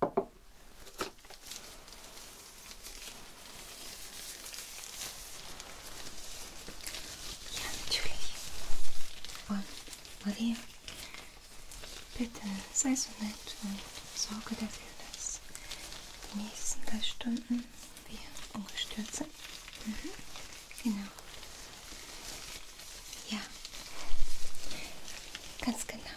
Ja, natürlich. Und Maria, bitte sei so nett und sorge dafür, dass die nächsten drei Stunden wir ungestört sind. Mhm. Genau. Ja, ganz genau.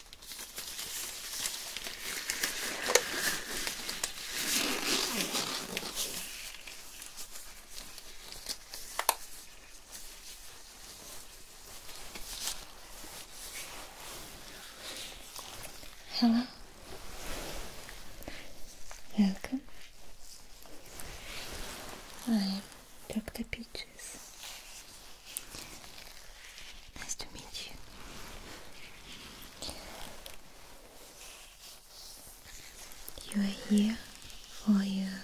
Hello. Welcome. I'm Dr. Peaches. Nice to meet you. You are here for your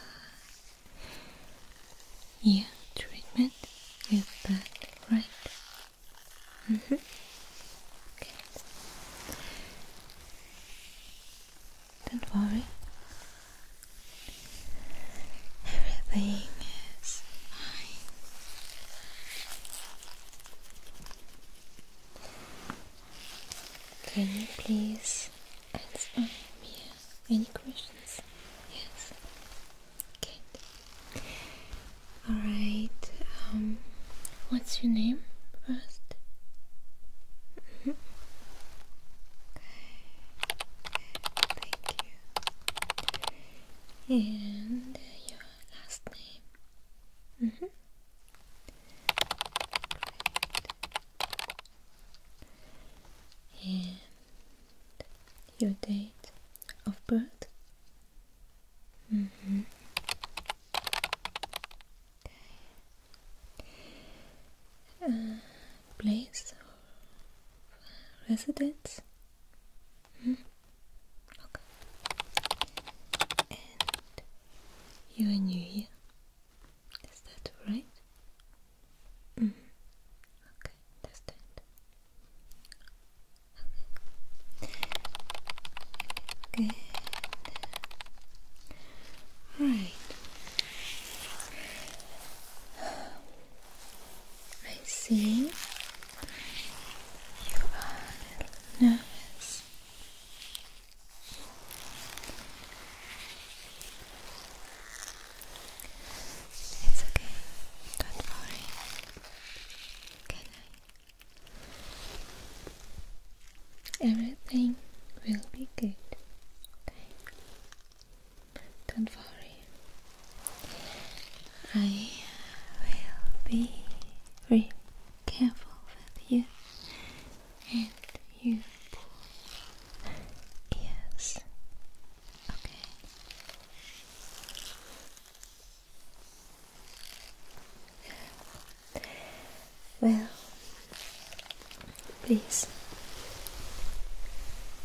ear treatment with that, right? -hmm. okay. Don't worry. Everything is fine. Can you please answer me any questions? Yes. Good. Alright, um, what's your name first? Mm Okay. Thank you and your last name. Mm -hmm. And your date of birth. Mm -hmm. okay. Uh, place of residence. Mm -hmm. Okay. And you are new here. Is that right? -hmm. Okay, that's Okay. Good. Right. I see you are nervous. It's okay. Don't worry. Can I? Everything will be good. Okay. Don't worry. I will be very careful with you and you Yes. Okay. Well, please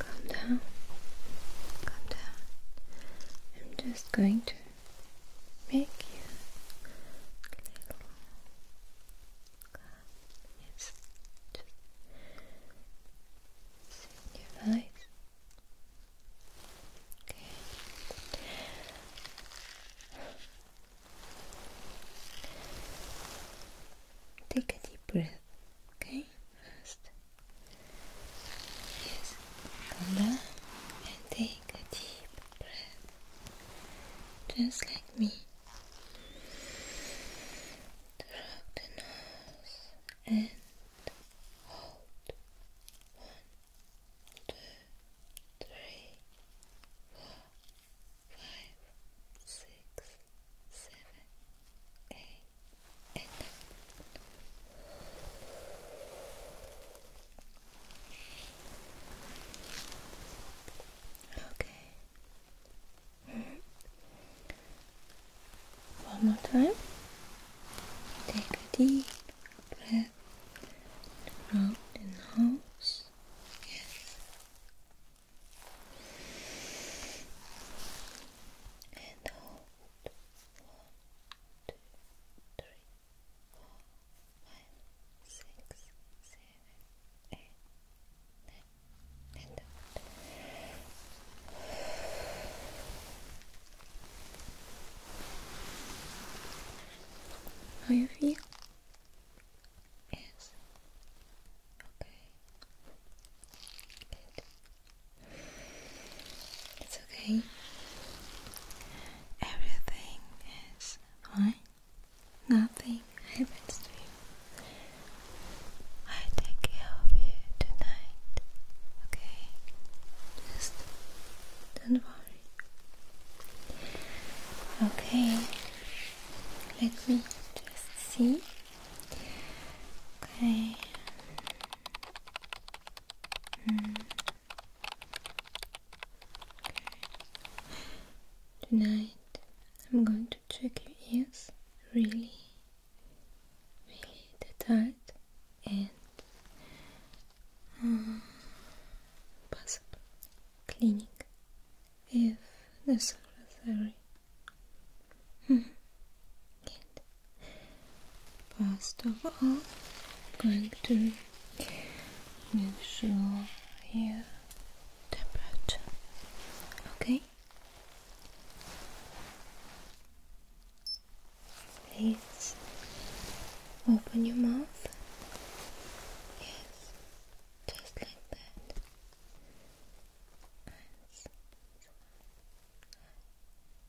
Calm down. Calm down. I'm just going to make you a little Yes. Just in your eyes. Okay. Take a deep breath, okay? First. Yes, come and take a deep breath, just like me. Drop the nose and hold. One, two, three, four, five, six, seven, eight okay. One more time. Take a deep breath out the nose. Yes. And hold. One, two, three, four, five, six, seven, eight, nine, How you feel? Yes. Okay. Good. It's okay. Everything is fine. Nothing happens to you. I take care of you tonight. Okay? Just don't worry. Okay. Let me just see. Okay. Hmm. Tonight I'm going to check your ears really, really tight and um, possible cleaning if necessary. Good. Hmm. First of all, I'm going to measure your temperature. Okay? Please open your mouth. Yes, just like that.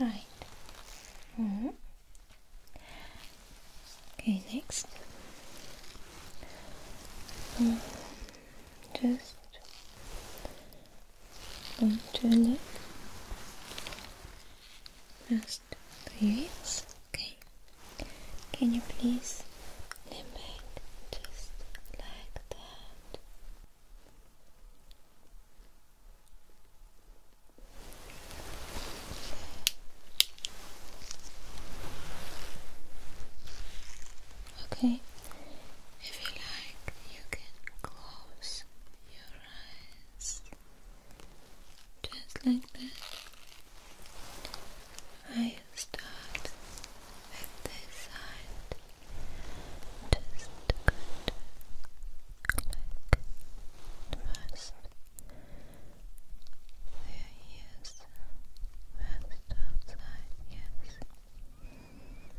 Alright. Mm-hmm. Okay, next. Mm-hmm. just going to look past the Okay. Can you please lean back just like that? Okay, if you like, you can close your eyes just like that. I start with this side. Just a good look first. There he is. First outside, yes. Okay. Ersten Blick.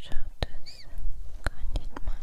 Schaut es gar nicht mal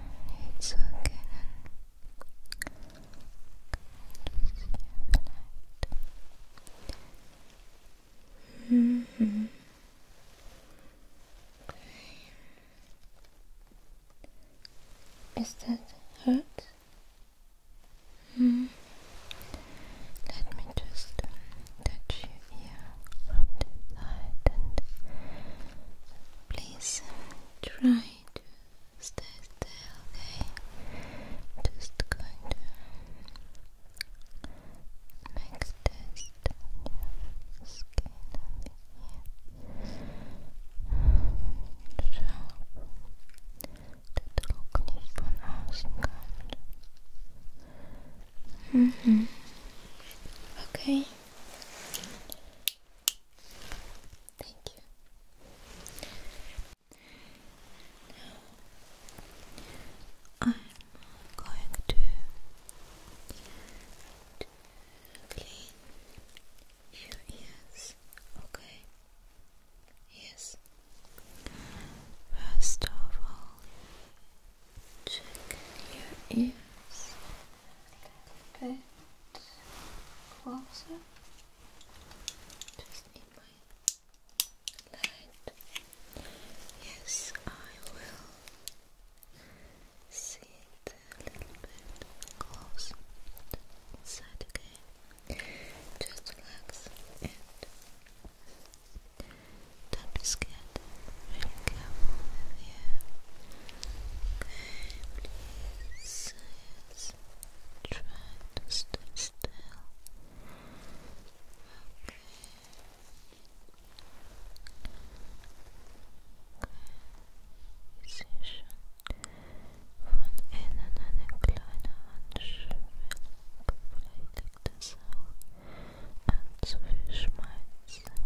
It's okay. Mm-hmm. Is that hurt? Mm-hmm. Let me just touch your ear from the side and please try to stay still, okay? Just going to make a skin on the ear. So, der Druck nicht Okay. Thank you. I'm going to clean your ears, okay? Yes. First of all, check your ears a bit closer. Just need my light. Yes, I will see it a little bit close inside again. Just relax and don't be scared. Really careful with you please yes. to stay still. Okay. Von innen eine kleine Handschwellung. Vielleicht es auch an zu viel Schmalzsammlung.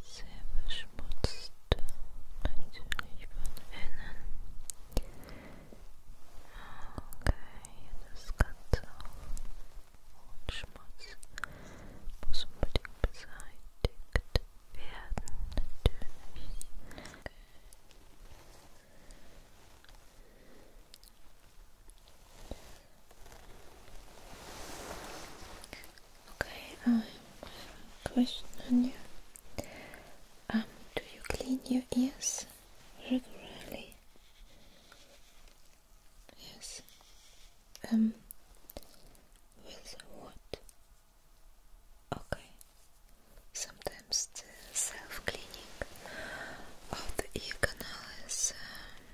sehr verschmutzt, natürlich von innen. Okay, das Ganze und Schmutz muss unbedingt beseitigt werden, natürlich. Okay. Okay, I uh, question on you. Um, do you clean your ears regularly? Yes. Um, with what? Okay. Sometimes the self-cleaning of the ear canal is um,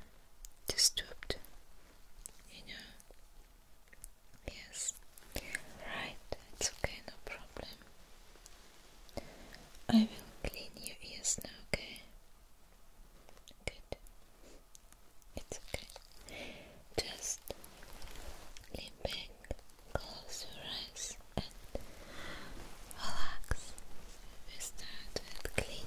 disturbed, you Yes, right, it's okay, no problem. I will clean your ears now, okay? Good. It's okay. Just lean back, close your eyes, and relax. We start cleaning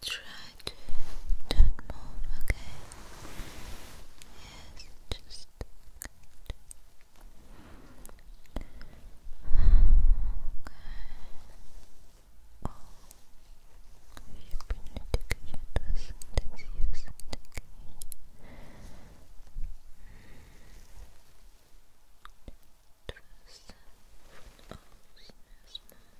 try to don't move, okay? Yes, just good. Okay. Oh, я понимаете, как я туда сантезиюсь, Trust foot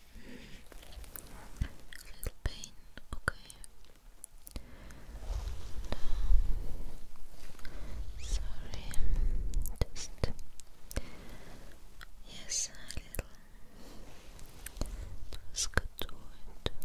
A little pain, okay. sorry, just yes, a little. Just could do it. Okay.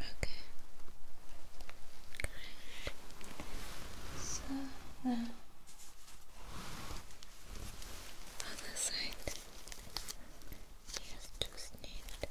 Okay. Good. So now on side just need here.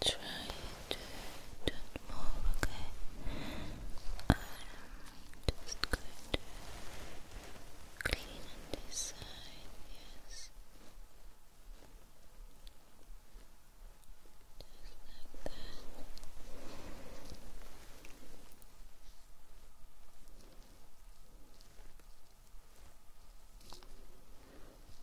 try to don't okay? I'm just going to clean this side, yes. Just like that.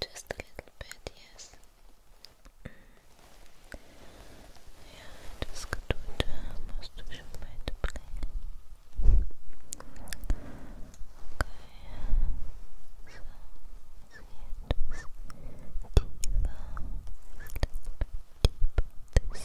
Just a little bit, yes. Mm. Ja, das Geduld musst Okay, so, let's a little bit deeper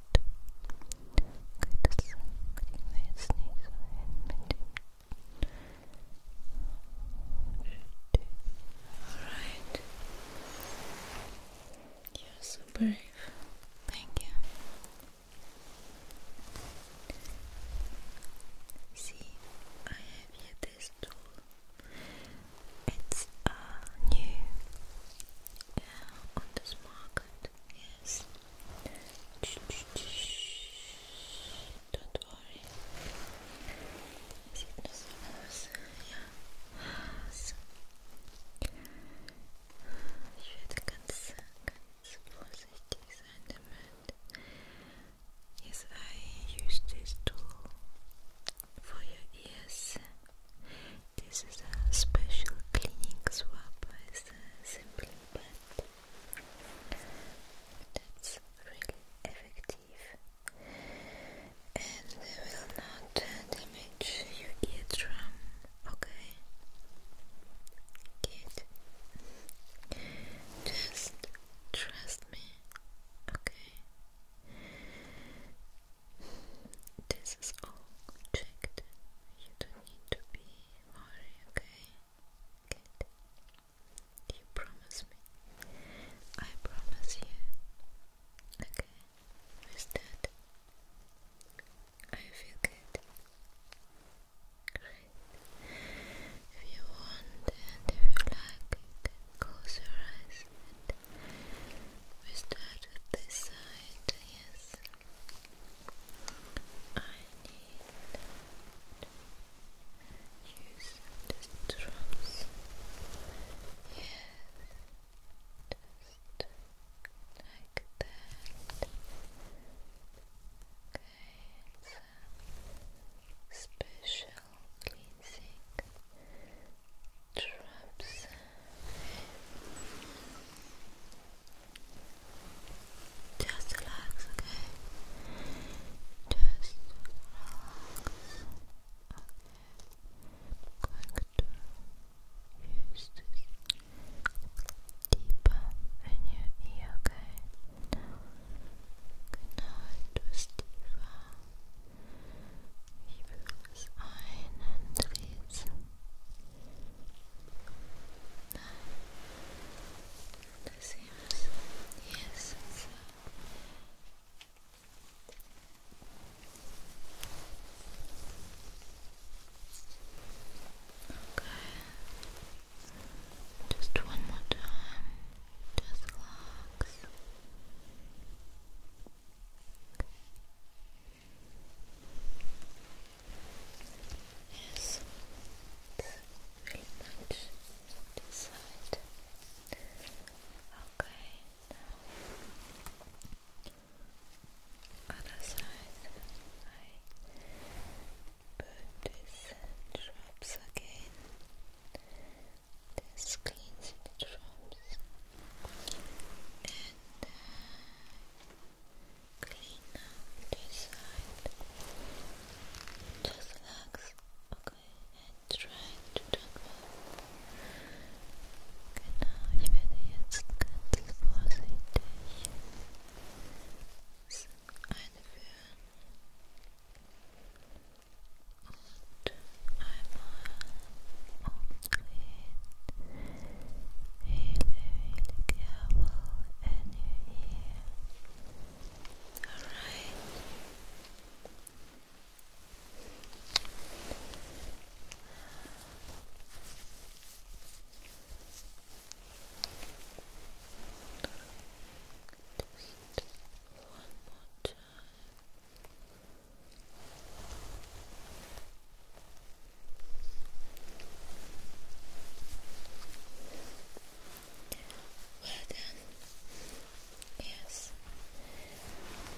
Alright. You're so brave. Thank you. See, I have this tool. It's uh, new uh, on this market. Yes. Don't worry. Is it nose? Yeah. So. Ich werde ganz, ganz vorsichtig Yes, I use this tool for your ears. This is a special cleaning swap, with a simple pad really effective and will not damage your eardrum, okay? Good. Just trust me, okay? This is all checked. You don't need to be worried, okay? Good. Do you promise me? I promise you. Okay. With that, I feel good. Great. If you want and if you like, you close your eyes and we start with this side. I need use just drums. Yes, just like that. Okay, special cleansing drops. Just relax, okay? Just relax. Okay. I'm going to use this deeper in your ear, okay? Now, good night, Steve. Ich will es ein und lesen that seems yes Okay. Just one more time. Just relax. Yes, very side. Okay, other side. I put these drops again. This cleans the drops and. Uh, clean now this side. Just relax, okay, and try to do Genau, ich werde jetzt ganz vorsichtig einführen und einmal really, really careful and your ear. Alright. one more time. Well done. Yes. okay.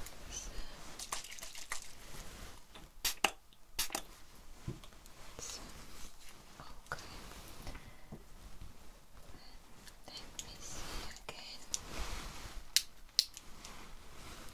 Let me see again.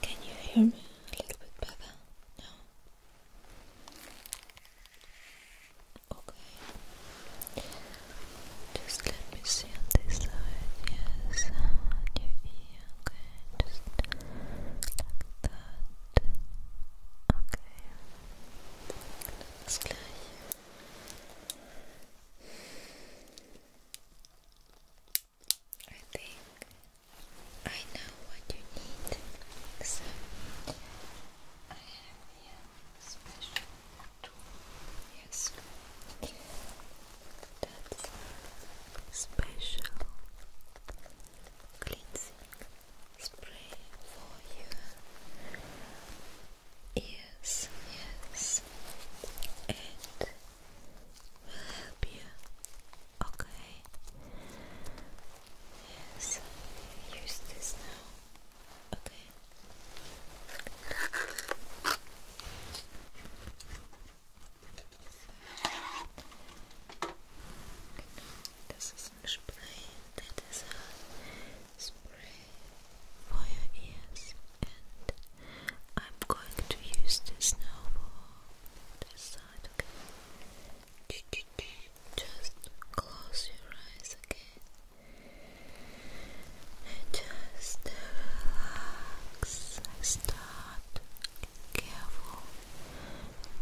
Can you hear me a little bit better? No? Okay. Just let me see on this side. Yes, on your ear. Okay, just like that. Okay. Alles gleich. I think I know what you need, so I have a special tool. Yes, that's special cleansing spray for your ears. Yes, and will help you. Okay. Yes, use this now. Okay. Das ist ein Spray. That is a spray for your ears and I'm going to use this now for this side, Just close your eyes again and just relax. Start careful,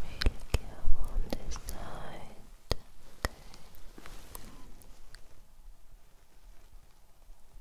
really careful this side,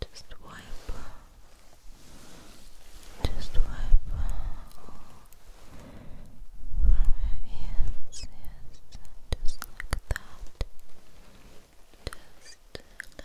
Just wipe, just wipe from your ears, yes, just like that, just like that.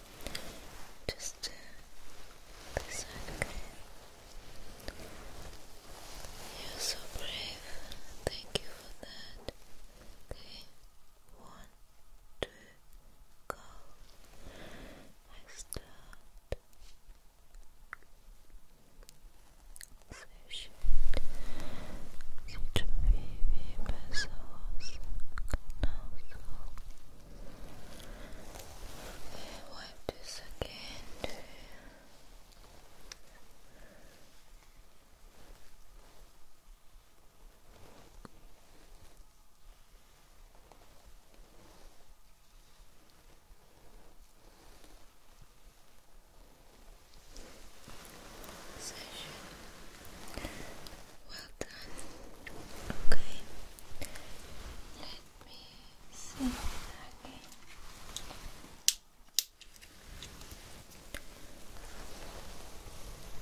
Just uh, this side, okay? You're so brave. Thank you for that. Okay, one, two, go. I start. Совершить сетевые персоны канал Okay, wipe this again. Session. Well done. Okay. Let me see again.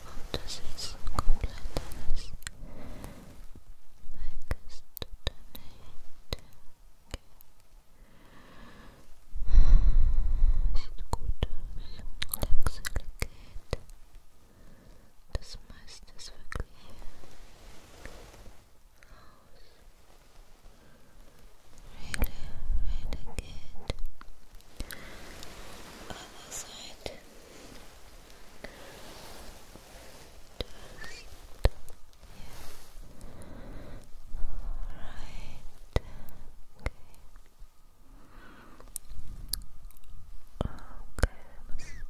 How does it look like this? Like this to donate. Okay. Sieht gut aus. This meiste is wirklich raus. Really, really good. Other Okay.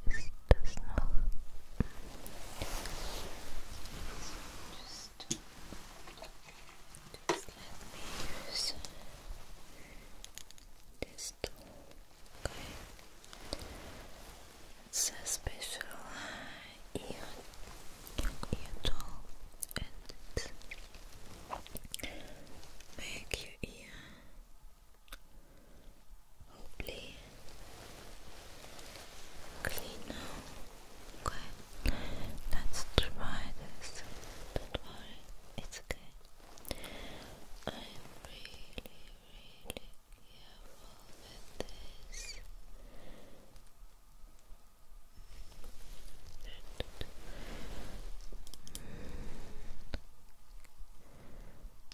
Okay, the snow. Just, let me use this tool. It's a special ear, ear tool, and it make your ear. Hopefully clean now. Okay, let's try this. Don't worry, it's okay. I'm really, really careful with this.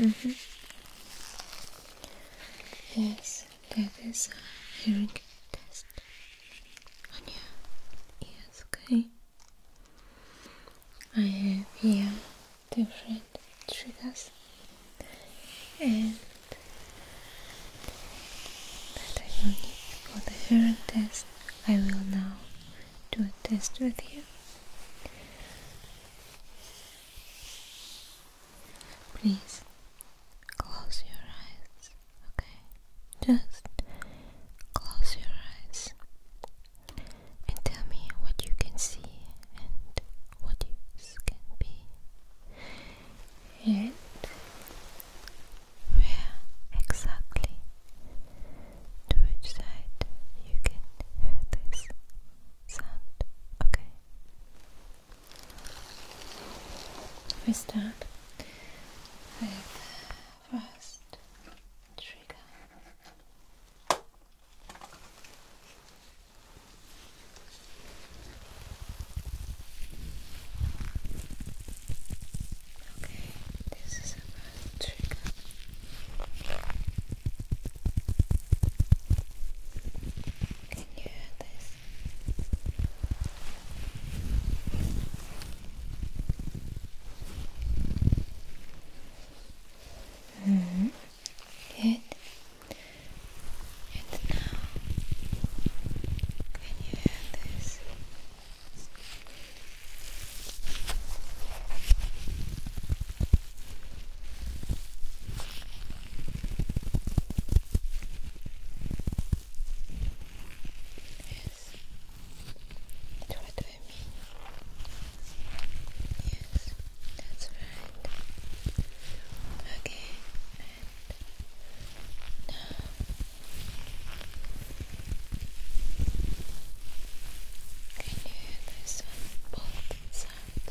Mm -hmm. Yes, that is a hearing test on your okay? I have here different triggers and that I will need for the hearing test. I will now do a test with you. Please close your eyes, okay? Just close your eyes and tell me what you can see and what you can be. And where exactly to which side you can hear this sound. Okay. We start first trigger. Okay, this is a first trigger. Can you hear this? -hmm. Good. And now, can you hear this? Yes. That's what I Yes, that's right. Okay, now. Can you hear this both sides?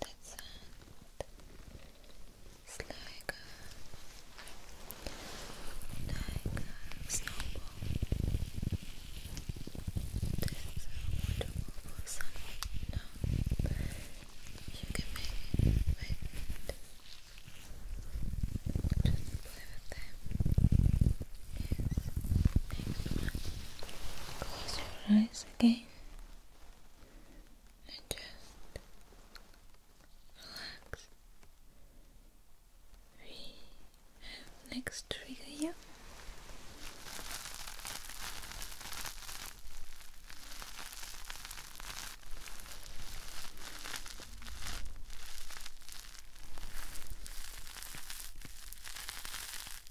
that sound it's like a, like a snowball this a wonderful sunlight now you can make it wait just play with them close your eyes again and just relax. We have next trigger here.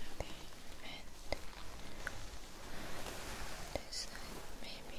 Okay, and this side maybe.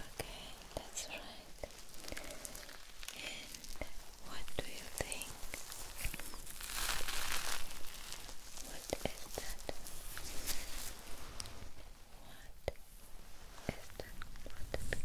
Okay, that's right. And what do you think? What is that? What is that? What it can be?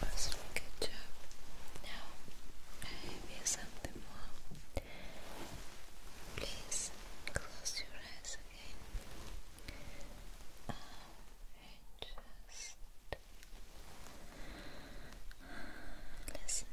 that was a good job. Now I have you something more. Please uh, close your eyes again. Uh, and just listen.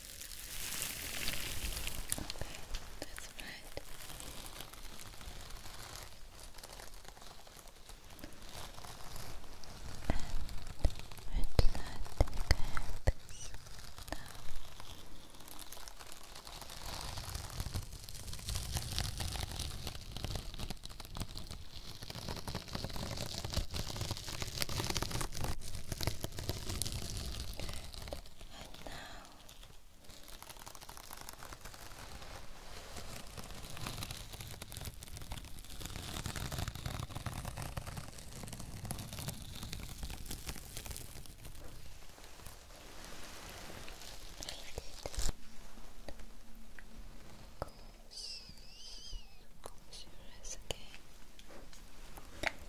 Okay, that's right. And I'd like this and now Close, close your eyes again.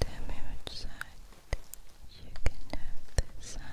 Tell me which side you can have this sound.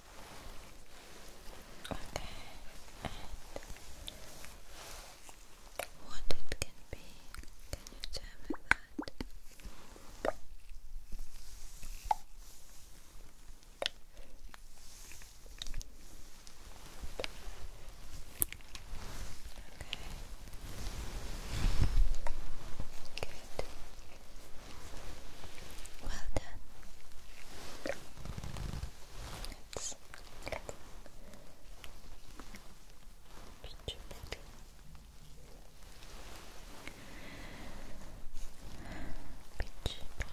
Okay, what it can be, can you tell me that? Okay. Good. Well done minutes. Stupid. Pitch black. Pitch black.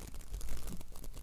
now you can have this.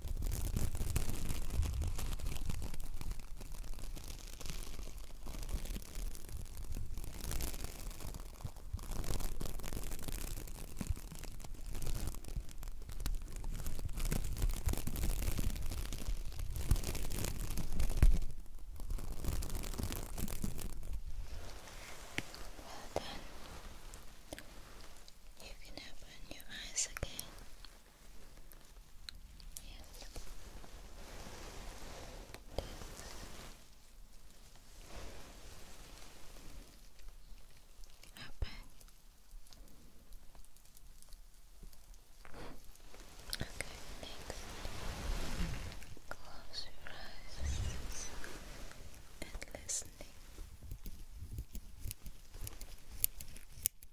Well done. You can open your eyes again. Yes. This. Okay, next. Close your eyes and listening.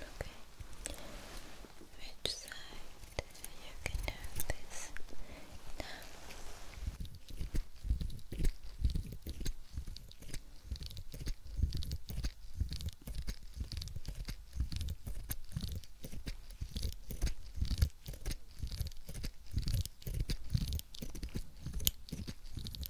Okay. Which side you can have this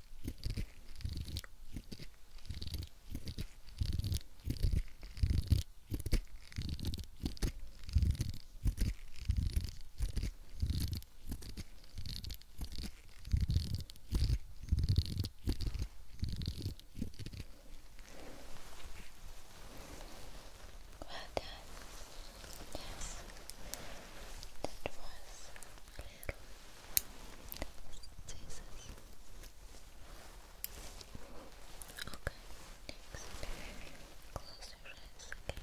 Well done. Yes, that was Jesus. Okay, Close your eyes, Okay.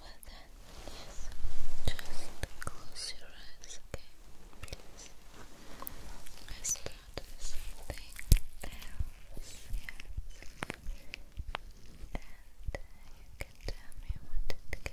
Well then, yes, just close your eyes, okay? Please. I start with something else, yes. And uh, you can tell me what it can be.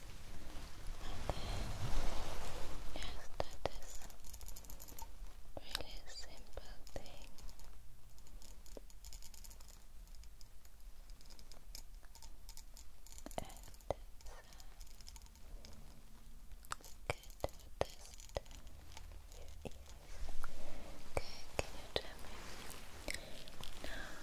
yes, that is really simple thing. And it's good test your Okay, can you tell me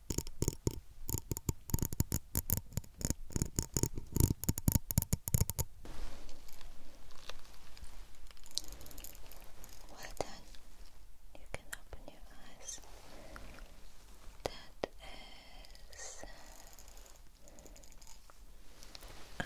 Well done. You can open your eyes. That is uh, a little two,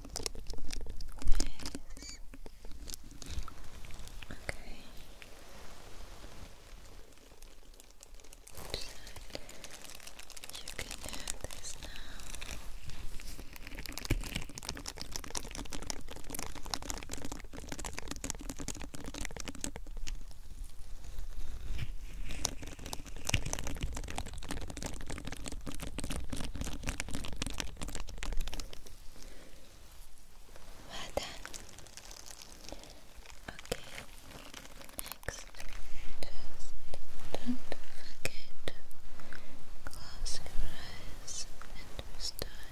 Nice. Okay. you can have this now. Well done. Okay. Next, just don't forget to close your eyes and restart.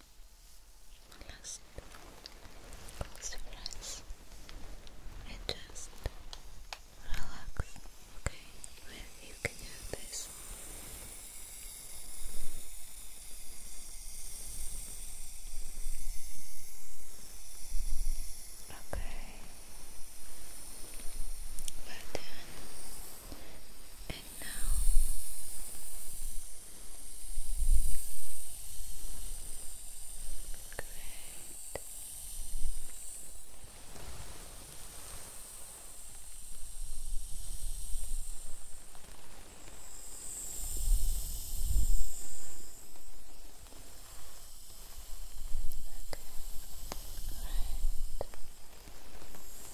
Last, close your eyes and just relax. Okay, you can do this. Okay, well done. And now great.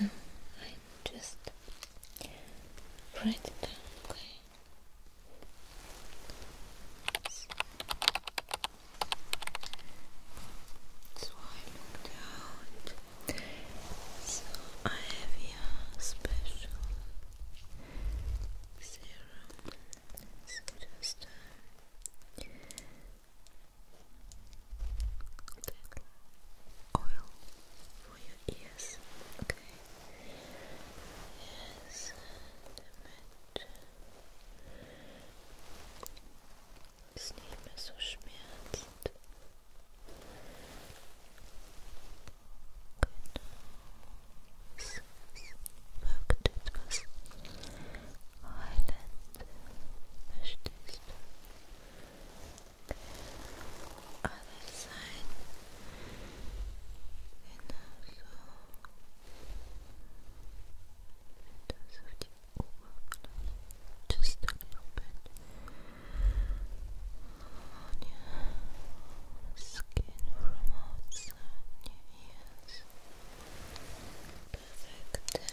I just write down, So, I have your special serum. Uh, oil for your ears. Okay. Yes, damit es nicht mehr so schmerzt. Genau. Es, wirkt etwas heilend. Verstehst du? other side and also in terms of the just a little bit on your skin from outside your perfect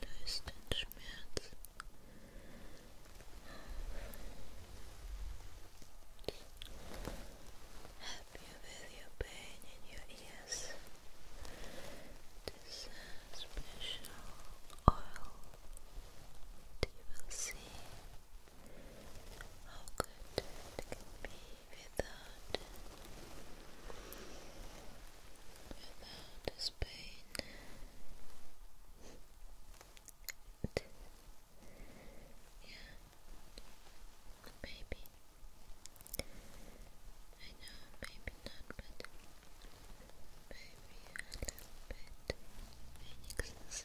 löst Help you with your pain in your ears. This special oil you will see how good it can be without without his yeah, maybe. I know, maybe not, but maybe a little bit. Phoenixes.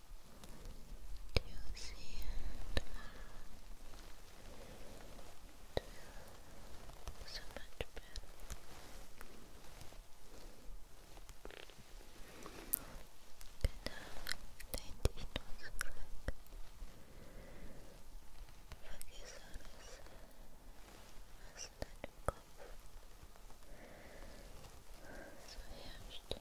see it so much better. Genau, dein Dichtungsfleck. Vergiss alles, was in deinem Kopf so in deinem Kopf so herrscht.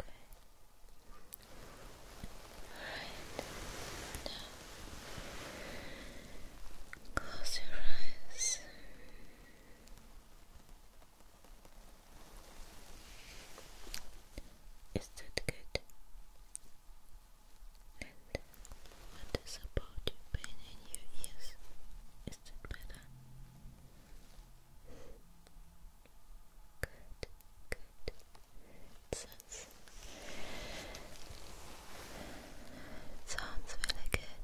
Okay. Alright. close your eyes. Is that good? And what is about your pain in your ears? Is that better? Good, good. sounds really good,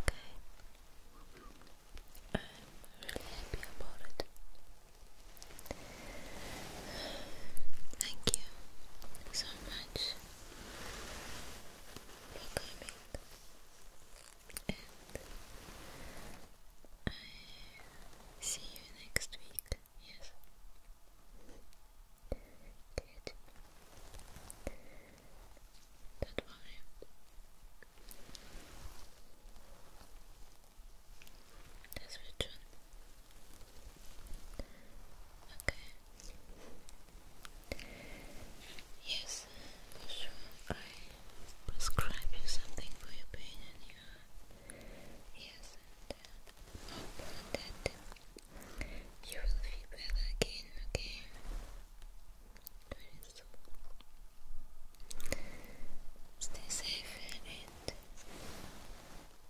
okay? I'm really happy about it. Thank you so much for coming and I see you next week. Yes. Good. Don't That's which Okay. Yes, sure. I prescribe you something for your pain and your yes and uh, that you will feel better again, okay? Very Stay safe and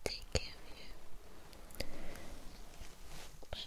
take care of you. bye.